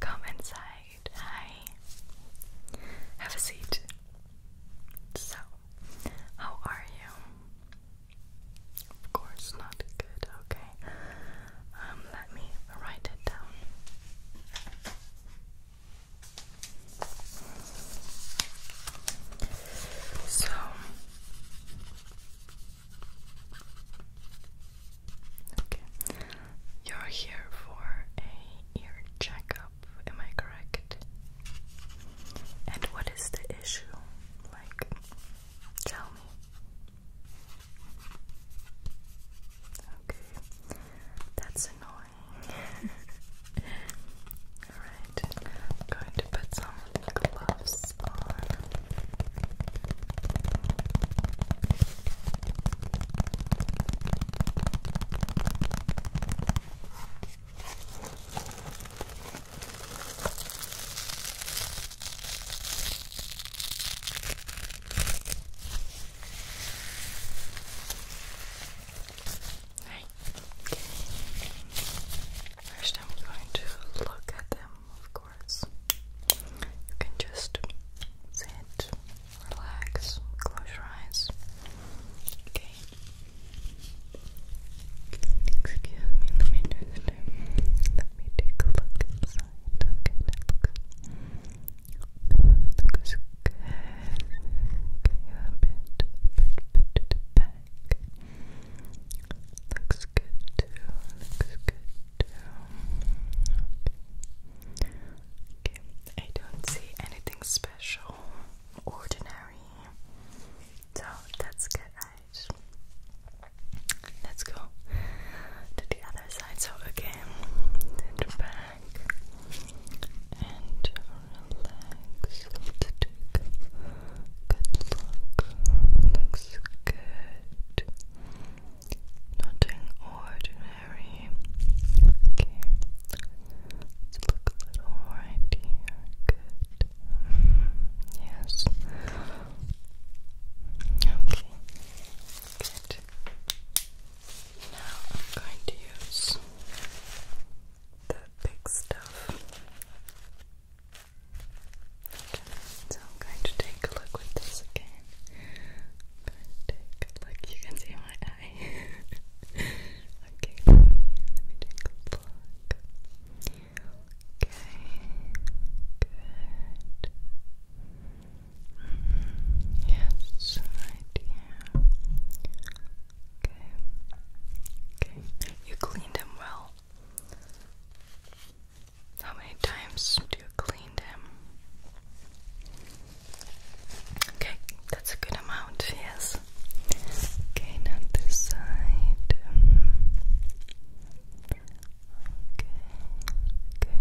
Come inside. Hi. Have a seat. So, how are you? Of course, not good. Okay. Um, let me write it down. So, you're here for a ear checkup, am I correct? And what is the issue? Like tell me. Okay. That's annoying. Alright, I'm going to put some gloves on. Right. First, I'm going to look at them, of course. You can just sit relax, close your eyes. Okay. Excuse me, let me just let me take a look inside. Okay, that looks good. Okay, a bit, a bit, bit to the Looks good too. Looks good too. Okay. I don't see anything special, ordinary. So that's good, right? Let's go to the other side. So again, back and relax. good look. Looks good. Nothing ordinary. Okay. Let's look right here. Good. Mm, yes. Okay. Good. Now I'm going to use the big stuff. So I'm going to take a look with this again take a look. You can see my eye. okay, let me, take a look. Okay, good. Mm, yes, right Okay, okay. You cleaned them well. How many times do you clean? Okay, that's a good amount, yes. Okay, now side. Okay, good.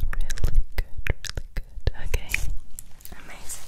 Really good, really good. Okay, amazing.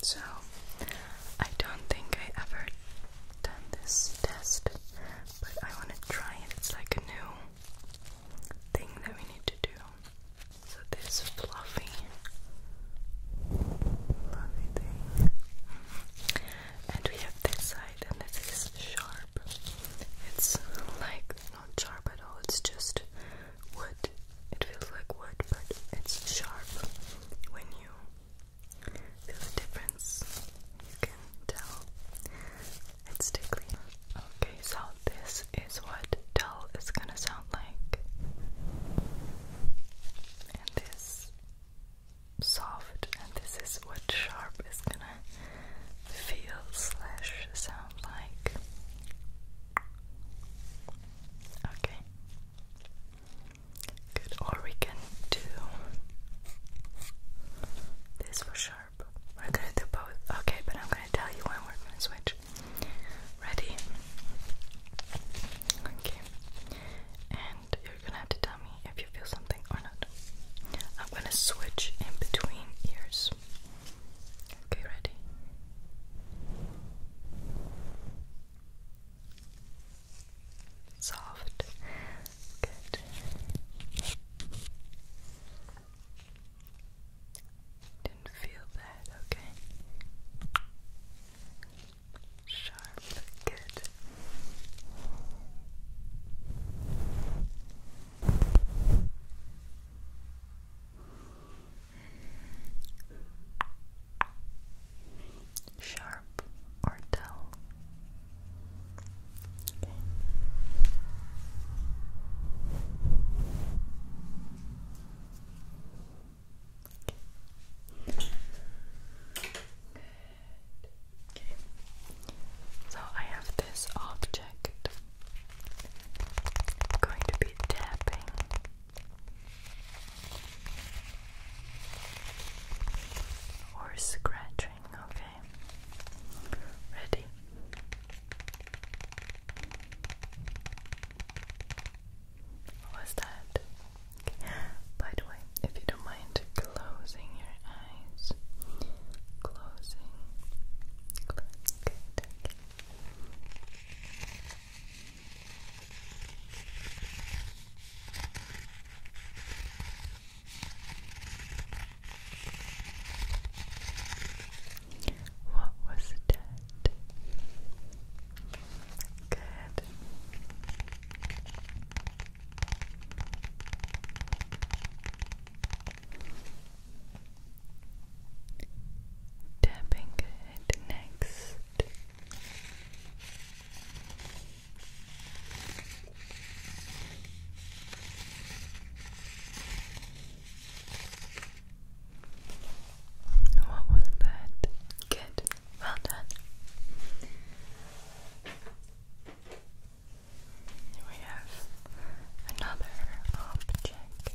So, I don't think I ever done this test, but I want to try it. It's like a new thing that we need to do. So, this fluffy, fluffy thing. And we have this side, and this is sharp. It's like not sharp at all, it's just wood. It feels like wood, but it's sharp when you Feel the difference? You can tell it's tickly. Okay, so this is what dull is gonna sound like. And this soft and this is what sharp is gonna feel slash sound like. Okay. Good, or we can do this for sharp. We're gonna do both. Okay, but I'm gonna tell you when we're gonna switch. Ready? Okay. And you're gonna have to tell me if you feel something or not. I'm gonna switch in between ears. Okay, ready? Soft. Good. Didn't feel that, okay? Sharp, good sharp or dull. Okay. So I have this object. I'm going to be tapping or scratching, okay? Ready? What that? Okay. By the way, if you don't mind closing your eyes, closing, what was that? Good. Tapping good next. What was that? Good. Well done. we have another object.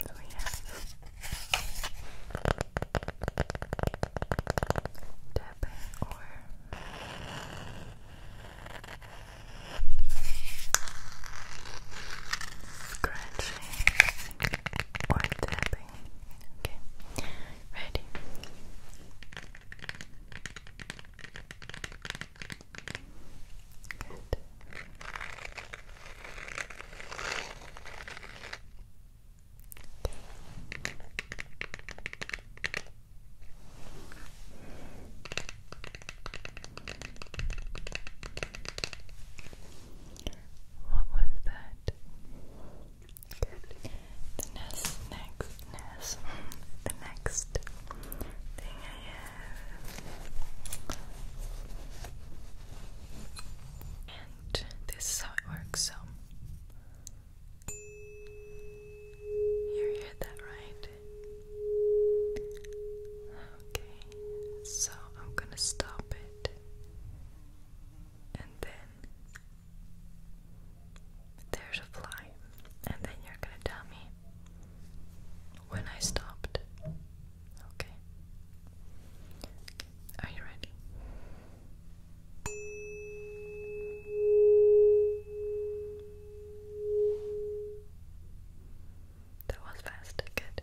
We have Tapping or scratching or tapping. Okay, ready. Good. What was that? The next, next, next, the next thing I have this is how it works. So you heard that right? Okay, so I'm gonna stop it and then there's a fly, and then you're gonna tell me when I stopped. okay. Are you ready? That was fast, good.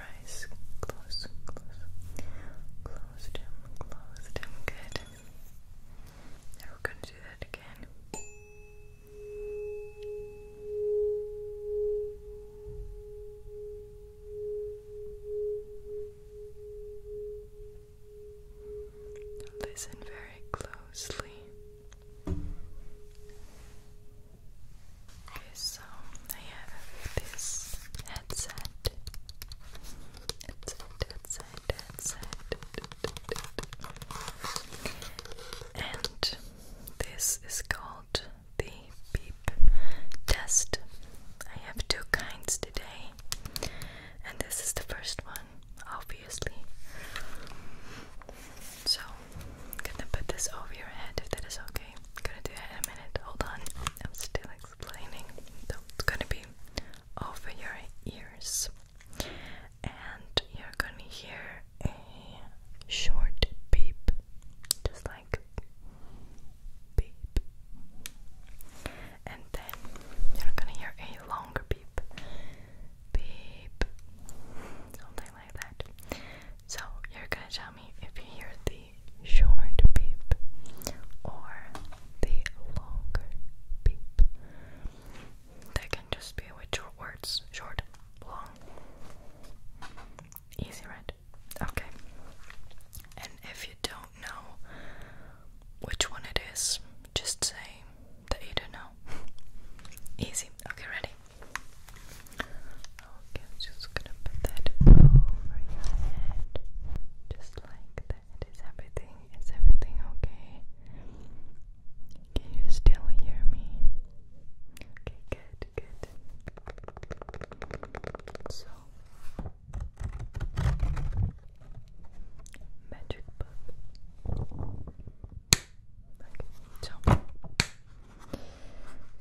your Close, close. them, closed them. Good. Now going to do that again. Listen very closely. Okay, so I have this headset and this is called the beep test. I have two kinds today, and this is the first one, obviously. So, I'm gonna put this over your head if that is okay. I'm gonna do it in a minute. Hold on, I'm still so it's gonna be over your ears, and you're gonna hear a short beep, just like beep, and then you're gonna hear a longer beep, beep, something like that. So you're gonna tell if you hear the short beep or the longer beep. They can just be with your words short, long. Easy, right? Okay. And if you don't know which one it is, just say that you don't know. Easy. Okay, ready? Okay, just just gonna put that over your head, just like that. Is everything is everything okay? Can you still hear me? Okay, good, good. So, magic book. Okay,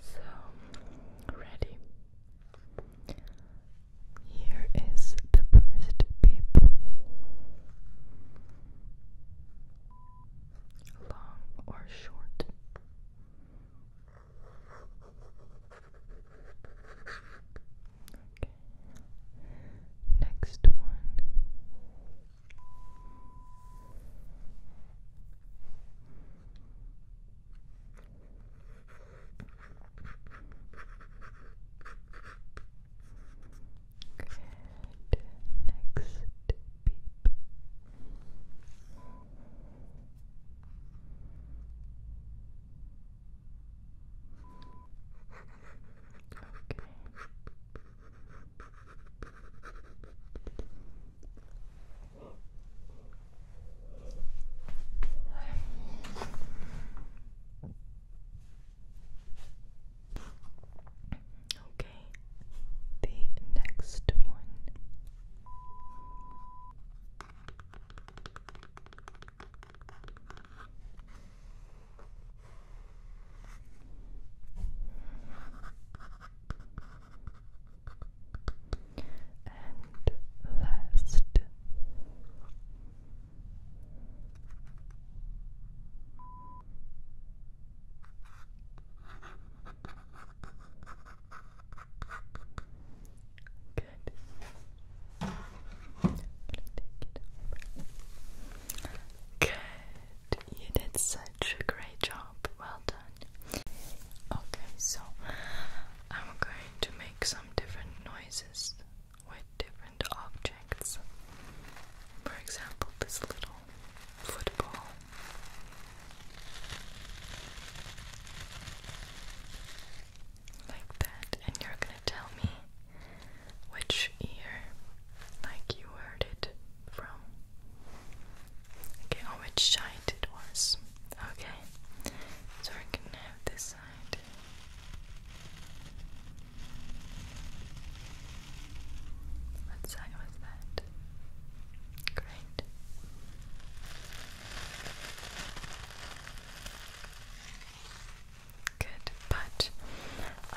so, so ready. Here is the first beep, Long or short. Next one. Next beep. Okay. Okay, the next one. Okay and last. Good. Good. You did such a great job. Well done. Okay, so I'm going to make some different with different objects. For example, this little football. Like that, and you're gonna tell me which ear, like you heard it from. Okay, on which side it was. Okay, so we're gonna have this what side was that? Great. Good, but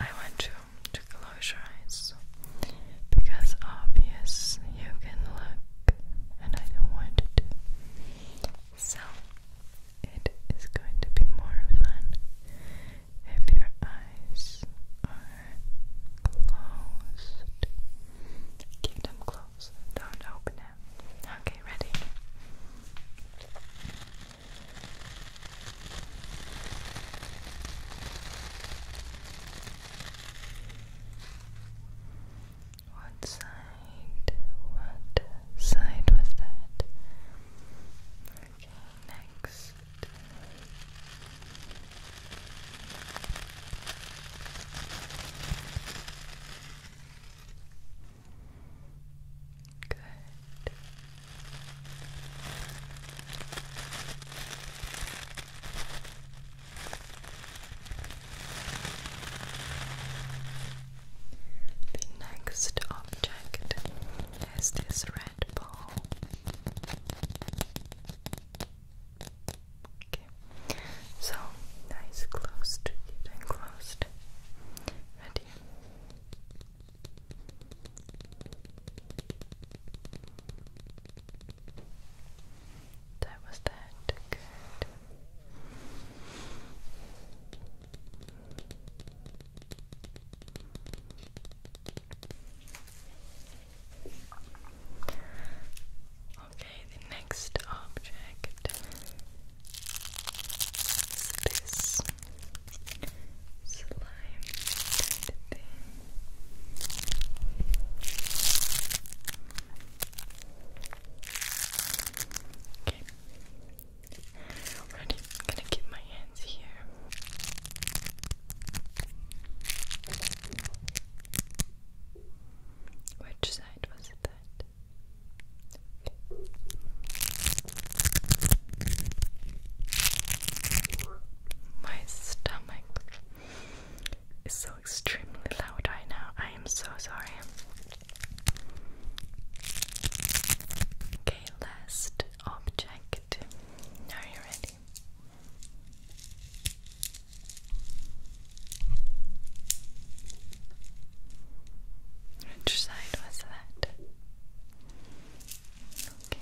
I want you to close your eyes because obvious you can look and I don't want it to. So it is going to be more fun if your eyes are closed. Keep them closed, don't open them. Okay, ready? What side? What side was that? Okay, next. Good. The next object is this red ball. Okay, so nice closed, deep and closed. Ready? That was that. Good. Okay, the next object is this slime thing. I'm gonna keep my hands here. Which side was it that? My stomach is so extremely loud right now. I am so sorry. Okay, last object. Are you ready? Which side was that? Okay, good.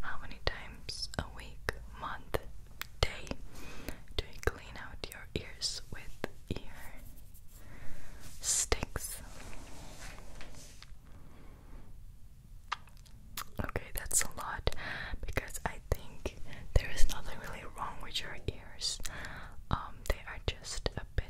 How many times a week, month, day do you clean out your ears with ear sticks? Okay, that's a lot because I think there is nothing really wrong with your ears. Um, they are just a bit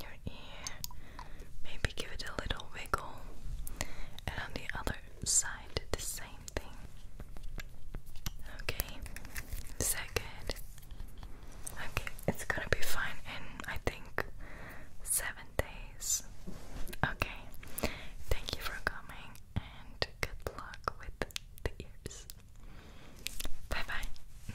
your ear. Maybe give it a little wiggle. And on the other side, the same thing. Okay, is Okay, it's gonna be fine in I think seven days. Okay, thank you for coming and good luck with the ears. Bye bye.